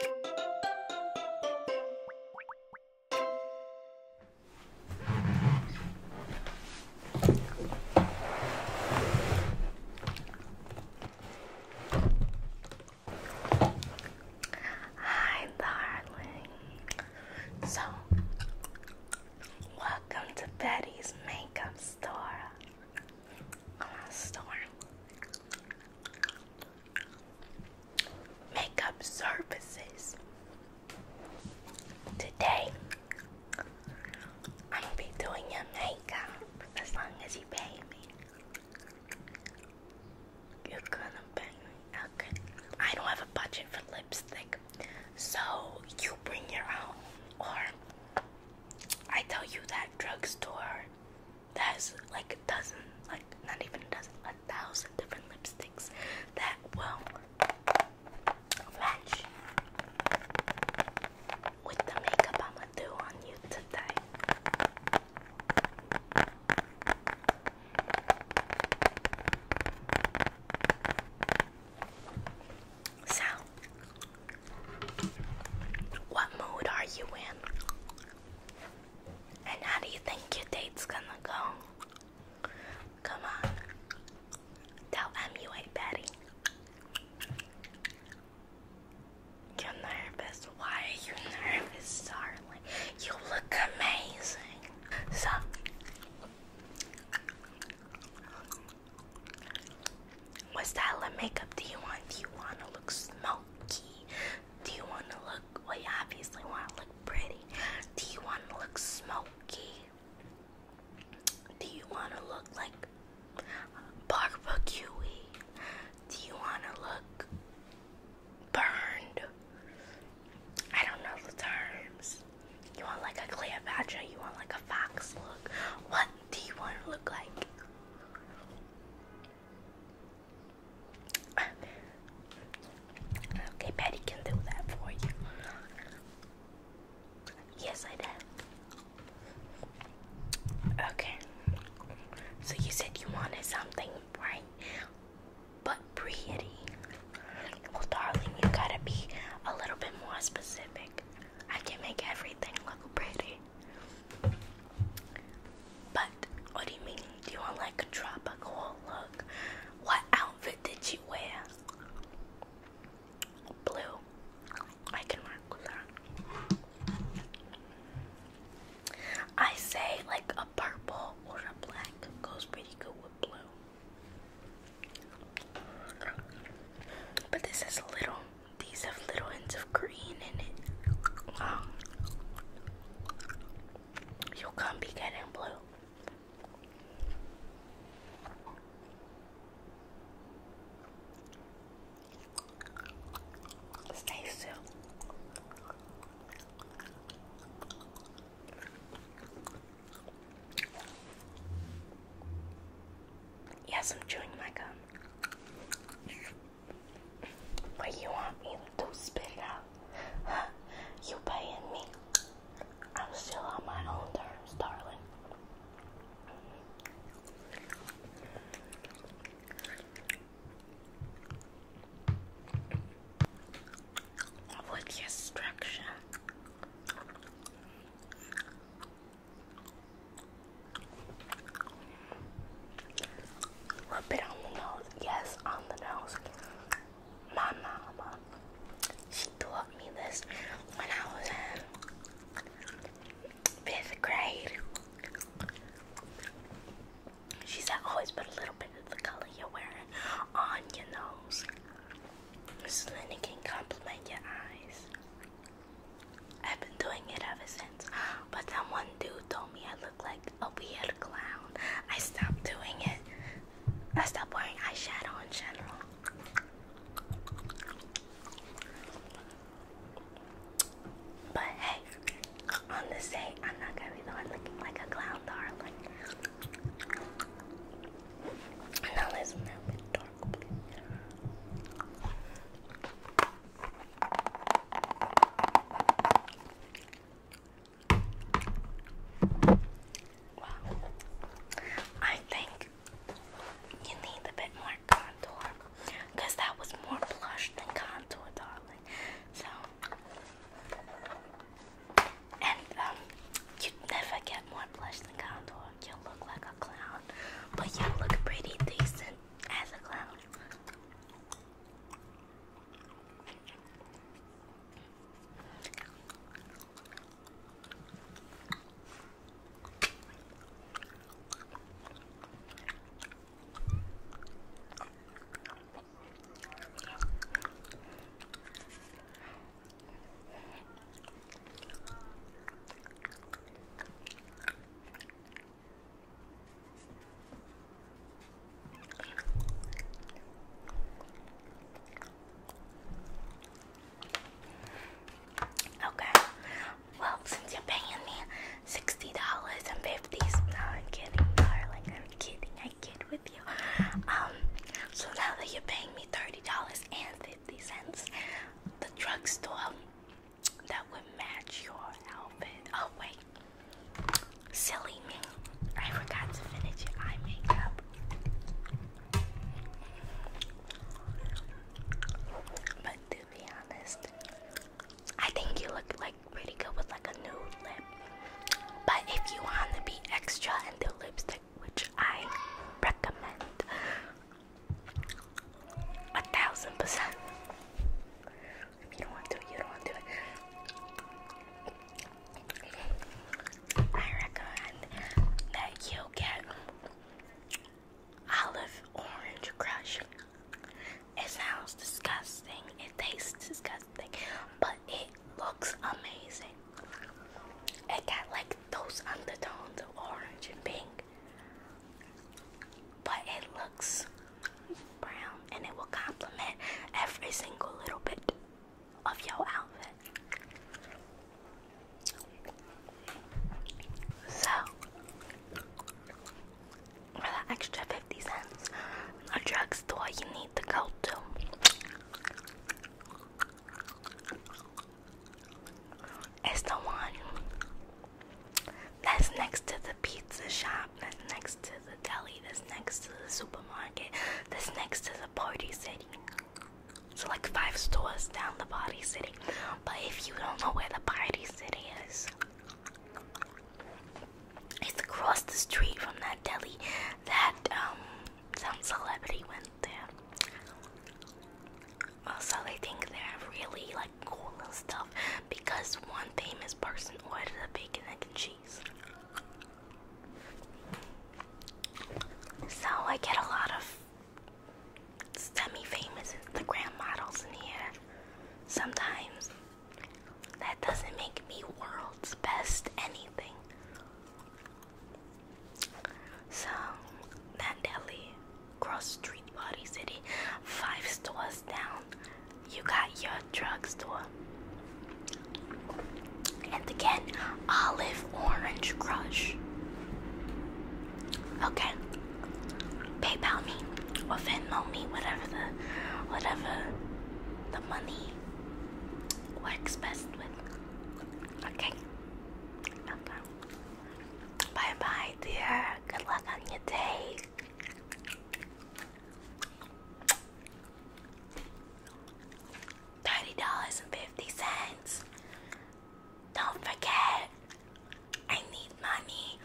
Hi, darling. So, welcome to Betty's makeup store. Uh, store makeup services. Today, i am gonna be doing your makeup as long as you pay me. You're gonna pay me, I don't have a budget for lipstick, so you bring your own, or I tell you that drugstore there's like a dozen, like not even a dozen, a thousand different lipsticks that will match with the makeup I'ma do on you today. So what mood are you in? And how do you think your date's gonna go? Come on. Tell MUA Betty. You're nervous. Why are you nervous, darling? You look amazing. So, what style of makeup do you want? Do you want to look smoky? Do you want to look, well, you obviously want to look pretty. Do you want to look smoky? Do you want to look like barbecue -y? Do you want to look burned? I don't know the terms. You want like a Cleopatra? You want like a fox look? What do you want to look like? Okay, Patty can do that for you. Yes, I did. Okay. So you said you wanted something bright but pretty. Well, darling, you gotta be a little bit more specific. I can make everything look pretty. But what do you mean? Do you want like a tropical look? What outfit did you wear? Blue. I can work with that. I say like a purple or a black goes pretty good with blue. But this is little these have little hints of green in it. Um, you can't be getting blue. Stay still. Yes, I'm chewing my gum. What you want me to spit out? You paying me? I'm still on my own terms, darling. What's your Rub it on the nose. Yes, on the nose. My mama, she taught me this when I was in fifth grade. She said, always put a little bit of the color you're wearing on your nose This then it can complement your eyes. I've been doing it ever since. But that one dude told me I look like a weird clown. I stopped doing it. I stopped wearing eyeshadow in general. But hey, on this day, I'm not gonna be the one looking like a clown, darling. Now now it's dark blue. I think you need a bit more contour that was more blush than contour, darling. So, and um, you never get more blush than contour you look like a clown, but you look pretty decent as a clown. Okay, well, since you're paying me $60 and 50s, no, I'm kidding, darling, I'm kidding, I kid with you. Um, so now that you're paying me $30.50, the drugstore that would match your outfit. Oh, wait. Silly me. I forgot to finish your eye makeup. But to be honest, I think you look like pretty good with like a nude lip. But if you want to be extra and do lipstick which I recommend a thousand percent. If you don't want to, you don't want to I recommend that you get olive orange crush. It sounds disgusting, it tastes disgusting, but it looks amazing. It got like those undertones of orange and pink, but it looks brown and it will complement every single little bit of your outfit. So, for that extra 50 cents, a drugstore you need to go to it's the one that's next to the pizza shop, that's next to the deli, that's next to the supermarket, that's next to the party city. So, like five stores down the party city. But if you don't know where the party city is, it's across the street from that deli that um some celebrity went there. Also, I think they have really like cool little stuff because one famous person ordered a bacon, egg, and cheese. So I get a lot of semi-famous Instagram models in here sometimes. That doesn't make me world's best anything. So, Nandelli, cross street, Body City, five stores down, you got your drugstore. And again, olive orange crush. Okay, PayPal me or Venmo me, whatever the, whatever the money works best with. Okay. Bye bye, dear. Good luck on your day. Thirty dollars and fifty cents. Don't forget, I need money.